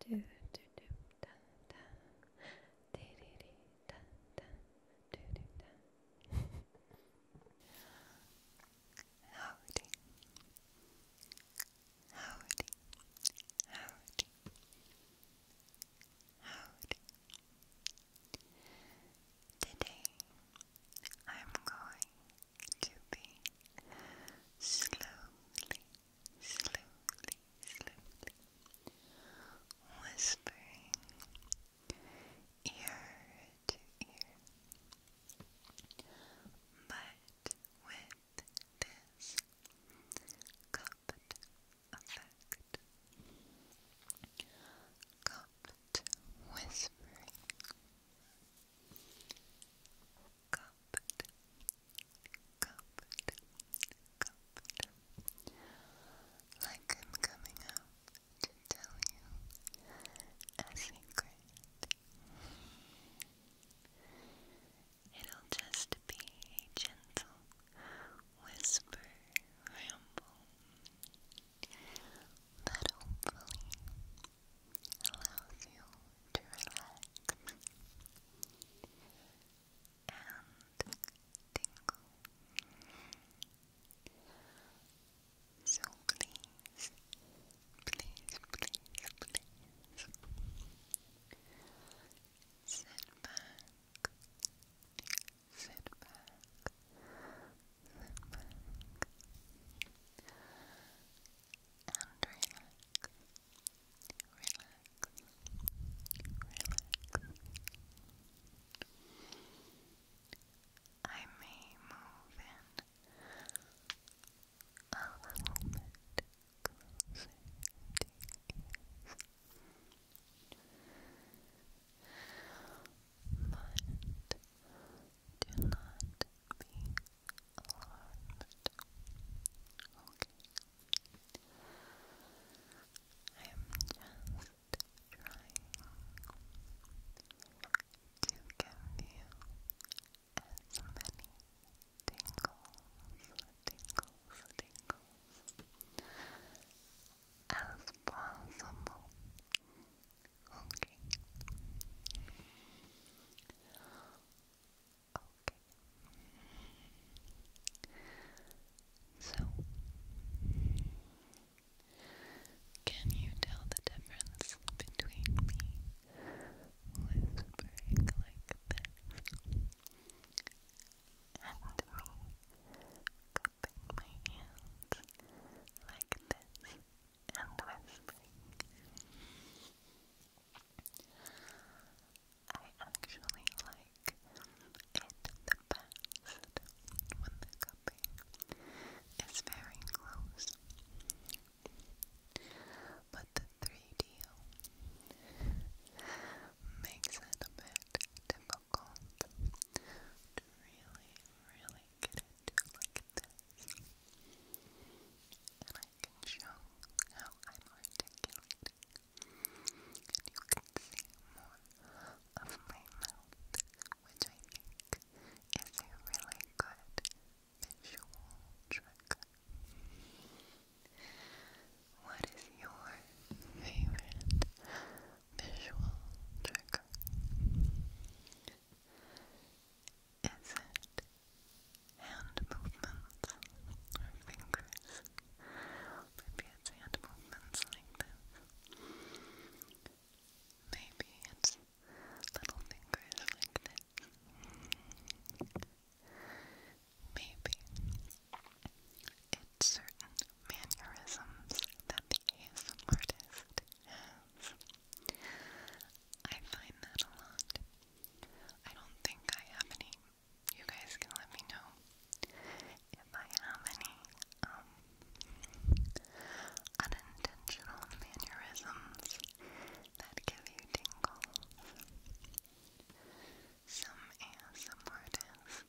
do do do da da de de de da da do do da Howdy Howdy Howdy Howdy Today I'm going to be slowly slowly, slowly whispering ear to ear. But with this cupped effect, cupped whispering comfort, Like I'm coming up to tell you a secret. It'll just be a gentle whisper ramble that hopefully allows you to relax and tingle. So please, please, please, please sit back, sit back, sit back and relax. I may move in a little bit closer to your ears. But do not be Alarmed. I'm just trying to give you as many tingles, tingles, tingles as possible. Okay. Okay. So, can you tell the difference between me whispering like this and me cupping my hands like this and whispering? I actually like it the best when the cupping is very close. But the 3D makes it a bit difficult to really, really get into like this. I can show how I'm articulating. And you can see more of my mouth, which I think is a really good visual trick. What is your favorite visual trigger? Is it hand movements fingers. Maybe it's hand movements like this. Maybe it's little fingers like this. Maybe it's certain mannerisms that the artist has. I find that a lot. I don't think I have any you guys can let me know if I have any um, unintentional mannerisms that give you tingles. Some ASM will like lick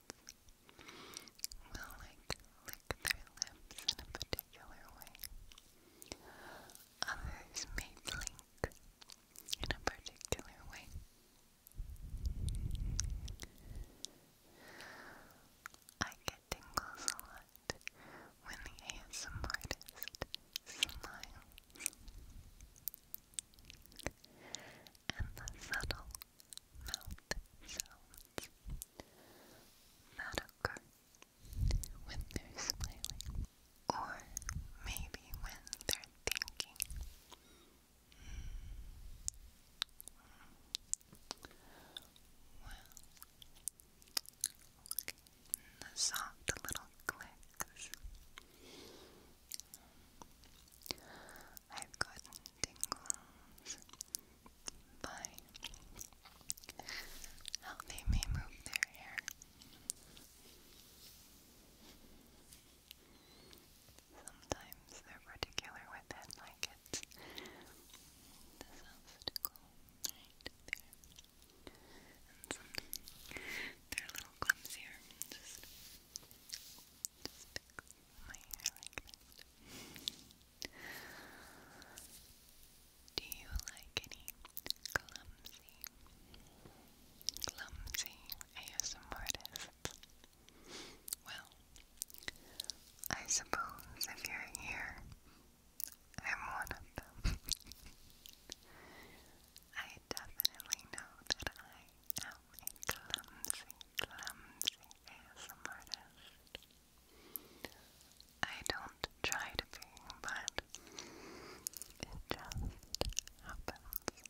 their lips in a particular way. Others may blink in a particular way. I get tingles a lot when the ASM artist smiles. And the subtle mouth sounds that occur when they're smiling. Or maybe when they're thinking. Hmm. Well, The soft little clicks. I've gotten tingles by how they move their hair. Sometimes they're particular with it, like it's this obstacle right there. And some they're a little clumsier. Just, just pick my hair like that. Do you like any clumsy, clumsy ASM Well, I suppose if you're here, I'm one of them. I definitely know that I am a clumsy, clumsy ASM I don't try to be, but it just happens.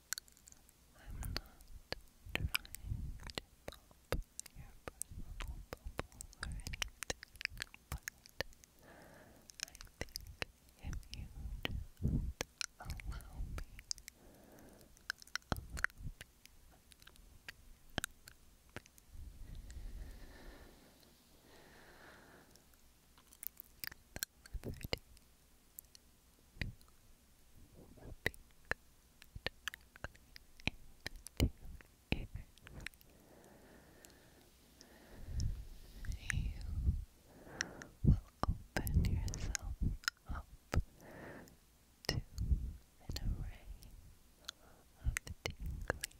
I'm not trying to pop your personal bubble or anything, but I think if you just allow me, allow me, allow me, liberty to speak directly You will open yourself up to an array of tingly opportunities.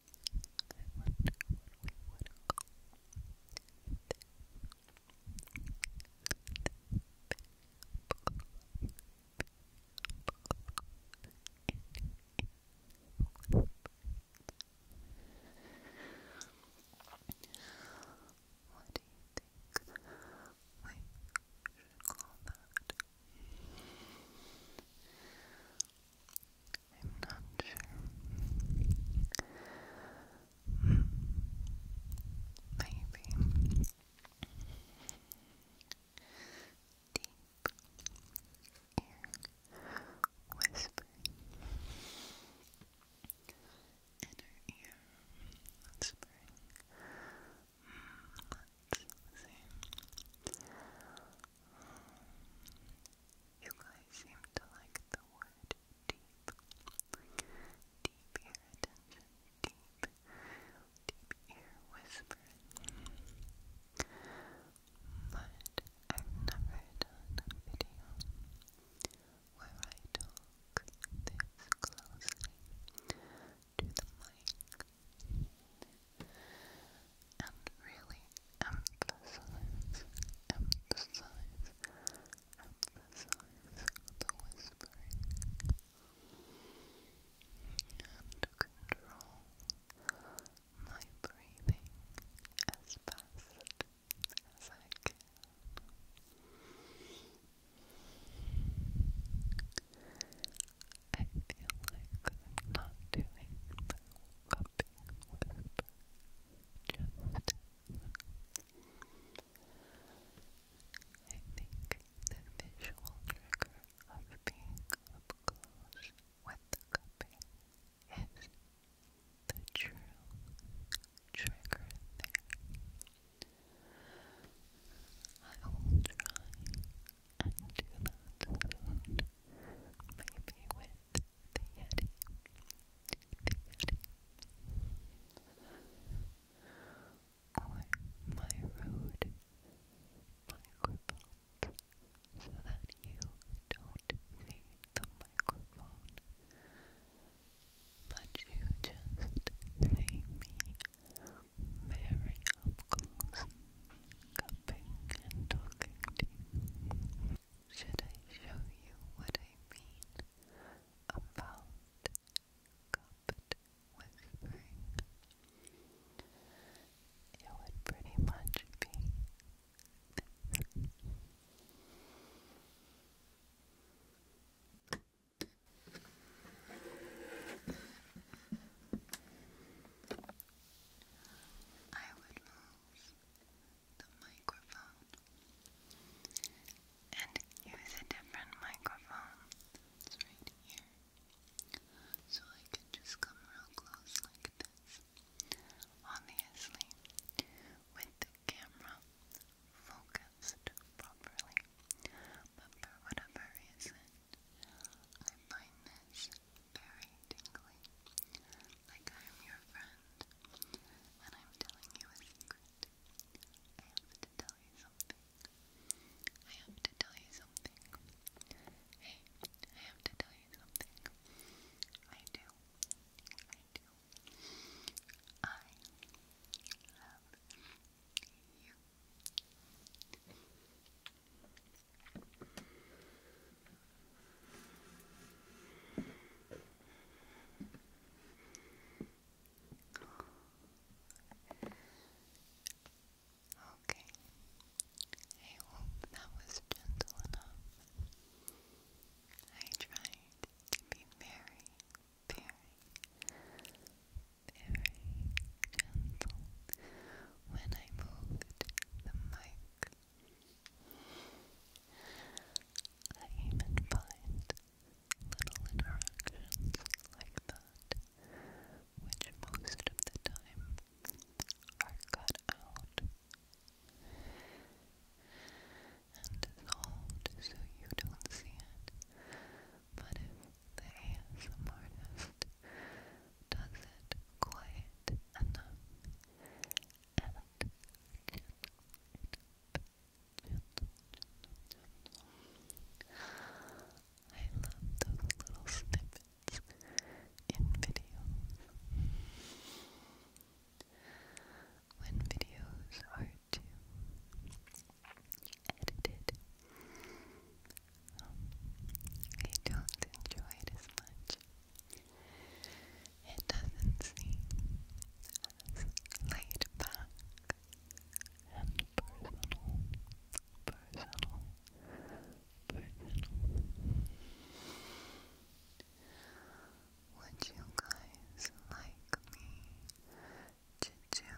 I wonder what we would call this. this what do you think we should call that? I'm not sure. Maybe. Deep ear inner ear whispering. You guys seem to like the word deep. Deep ear attention. Deep. Deep ear whispering. But I've never done a video where I talk this closely to the mic and really emphasize, emphasize, emphasize the whispering and control my breathing as fast as I can. I feel like I'm not doing coughing whisper just I think the visual trigger of being up close with the cupping is the true trigger thing. I will try and Maybe with the Yeti. The my road microphone so that you don't see the microphone but you just see me very up close. Should I show you what I mean about cupped whispering? It would pretty much be I would move the microphone and use a different microphone. right here. So I can just come real close like this. Obviously, with the camera focused properly. But for whatever reason, I find this very tingly, like I am your friend, and I'm telling you a secret. I have to tell you something. I have to tell you something. Hey, I have to tell you something. I do. I do. I love you. Okay. I hope that was gentle enough. I tried to be very, very, very gentle when I moved the mic I even find little interactions like that, which most of the time are cut out and dissolved so you don't see it. But if the ASM artist does it quiet enough I love those little snippets in videos. When videos are too edited, um, I don't enjoy it as much. It doesn't seem as laid back and personal, personal, personal. Would you guys like me to do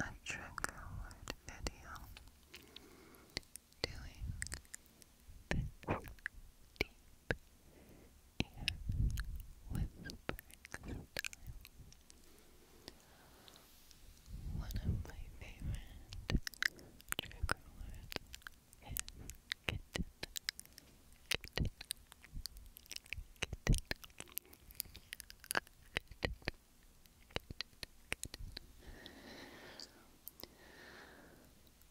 a trigger video? doing this deep ear whispering style. One of my favorite trigger words is kitten. Kitten. Kitten. Kitten. Kitten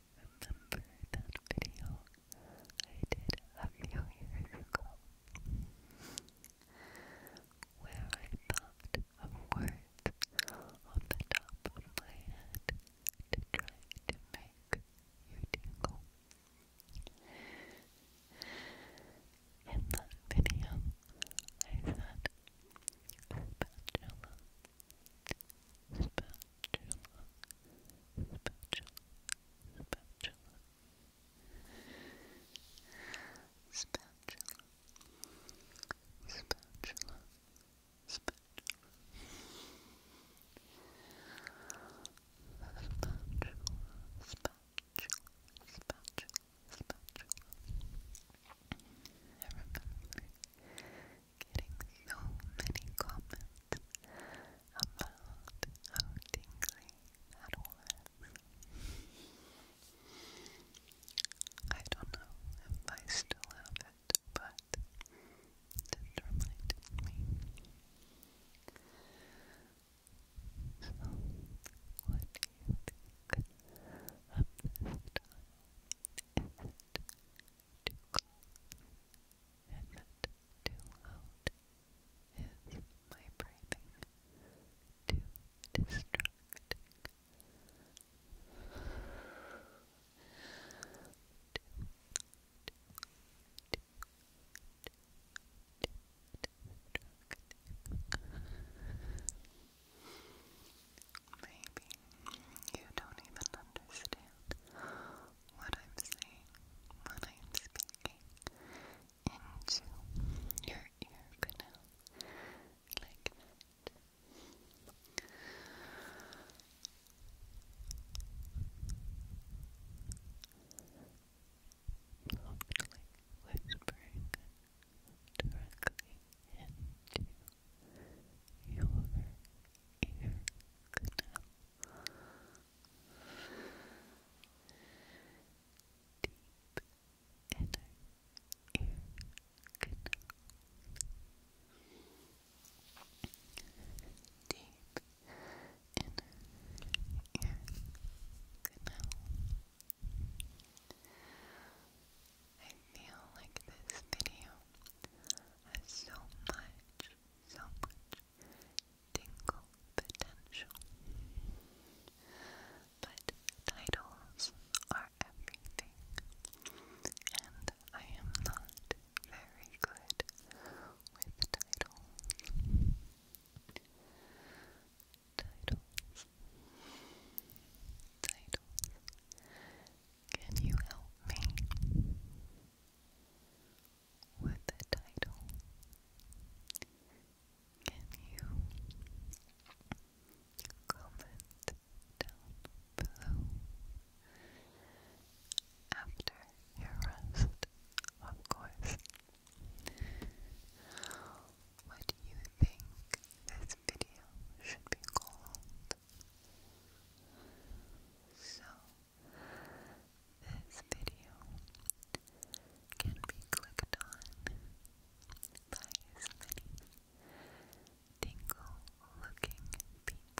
remember that video I did a few years ago where I thought of words on the top of my head to try to make you tingle. In that video, I said spatula, spatula, spatula, spatula, spatula, spatula, spatula. Spatula, spatula, spatula, spatula. Everybody, getting so many comments about how tingly that was. I don't know if I still have it, but this reminded me. So, what do you think too cold? Is it too loud? Is my breathing too distracting? Maybe you don't even understand what I'm saying when I'm speaking into your ear canal like that. Softly whispering directly into your ear canal. Deep inner ear canal. Deep inner ear canal feel like this video has so much, so much tingle potential. But titles are everything, and I am not very good with titles. Titles, titles, can you help me with the title? Can you comment down below after your rest, of course? What do you think this video should be called? So, this video can be clicked on by as many tingle looking people.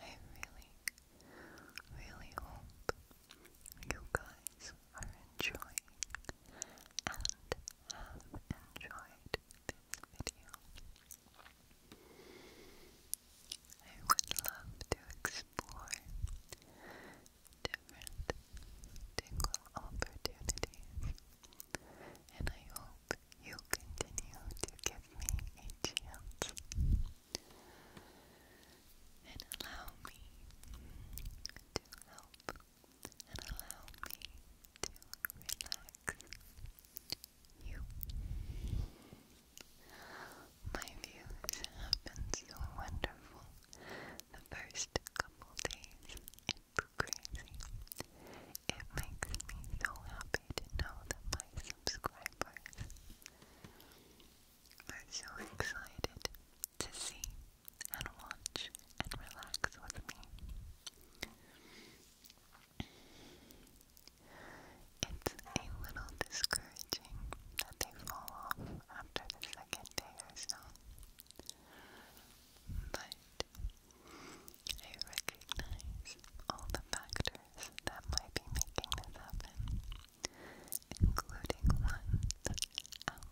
I really, really hope you guys are enjoying and have enjoyed this video. I would love to explore different tingle opportunities, and I hope you continue to give me a chance and allow me to help and allow me to relax you. My views have been so wonderful the first couple days. It's crazy. It makes me so happy to know that my subscribers. We're so excited to see and watch and relax with me. It's a little discouraging that they fall off after the second day or so, but I recognize all the factors factors that might be making this happen, including ones out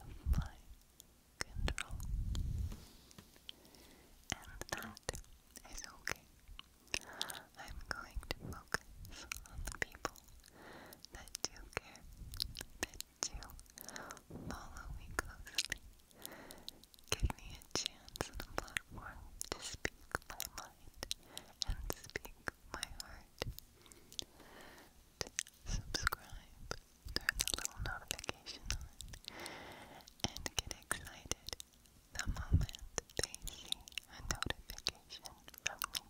of my control. And that is okay. I'm going to focus on the people that do care, that do follow me closely, give me a chance and a platform to speak my mind, and speak my heart. Subscribe, turn the little notification on, and get excited the moment they see a notification from me.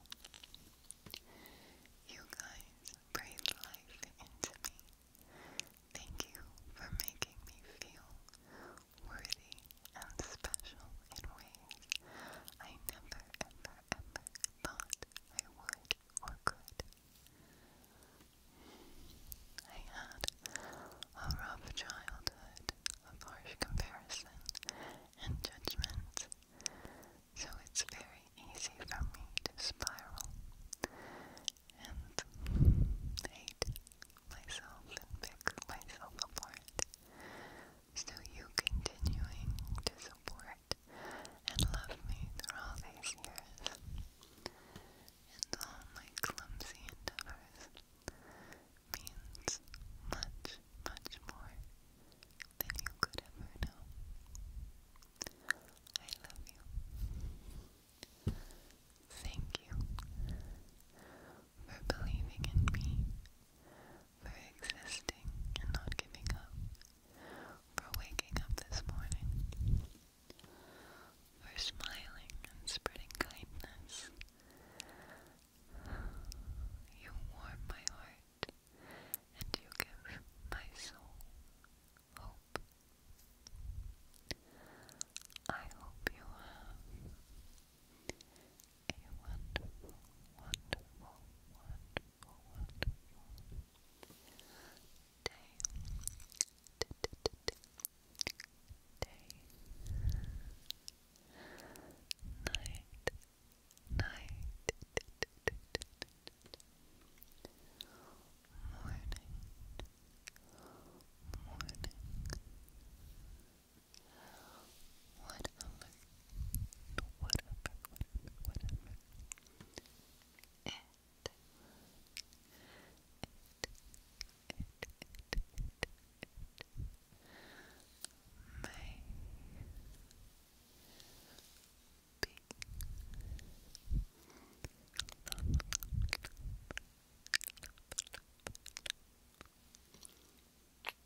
You guys breathe life into me. Thank you for making me feel worthy and special in ways I never, ever, ever thought I would or could. I had a rough childhood of harsh comparison and judgment, so it's very easy for me to spiral and hate myself and pick myself apart so you continuing to support and love me through all these years and all my clumsy endeavors means much, much more than you could ever know. I love you. Thank you for believing in me for existing and not giving up, for waking up this morning, for smiling and spreading kindness. You warm my heart and you give my soul hope. I hope you have a wonderful, wonderful, wonderful, wonderful day. D -d -d -d day. Night. Night. D -d -d -d -d -d Morning. Morning whatever, whatever, whatever, It, it, it, it,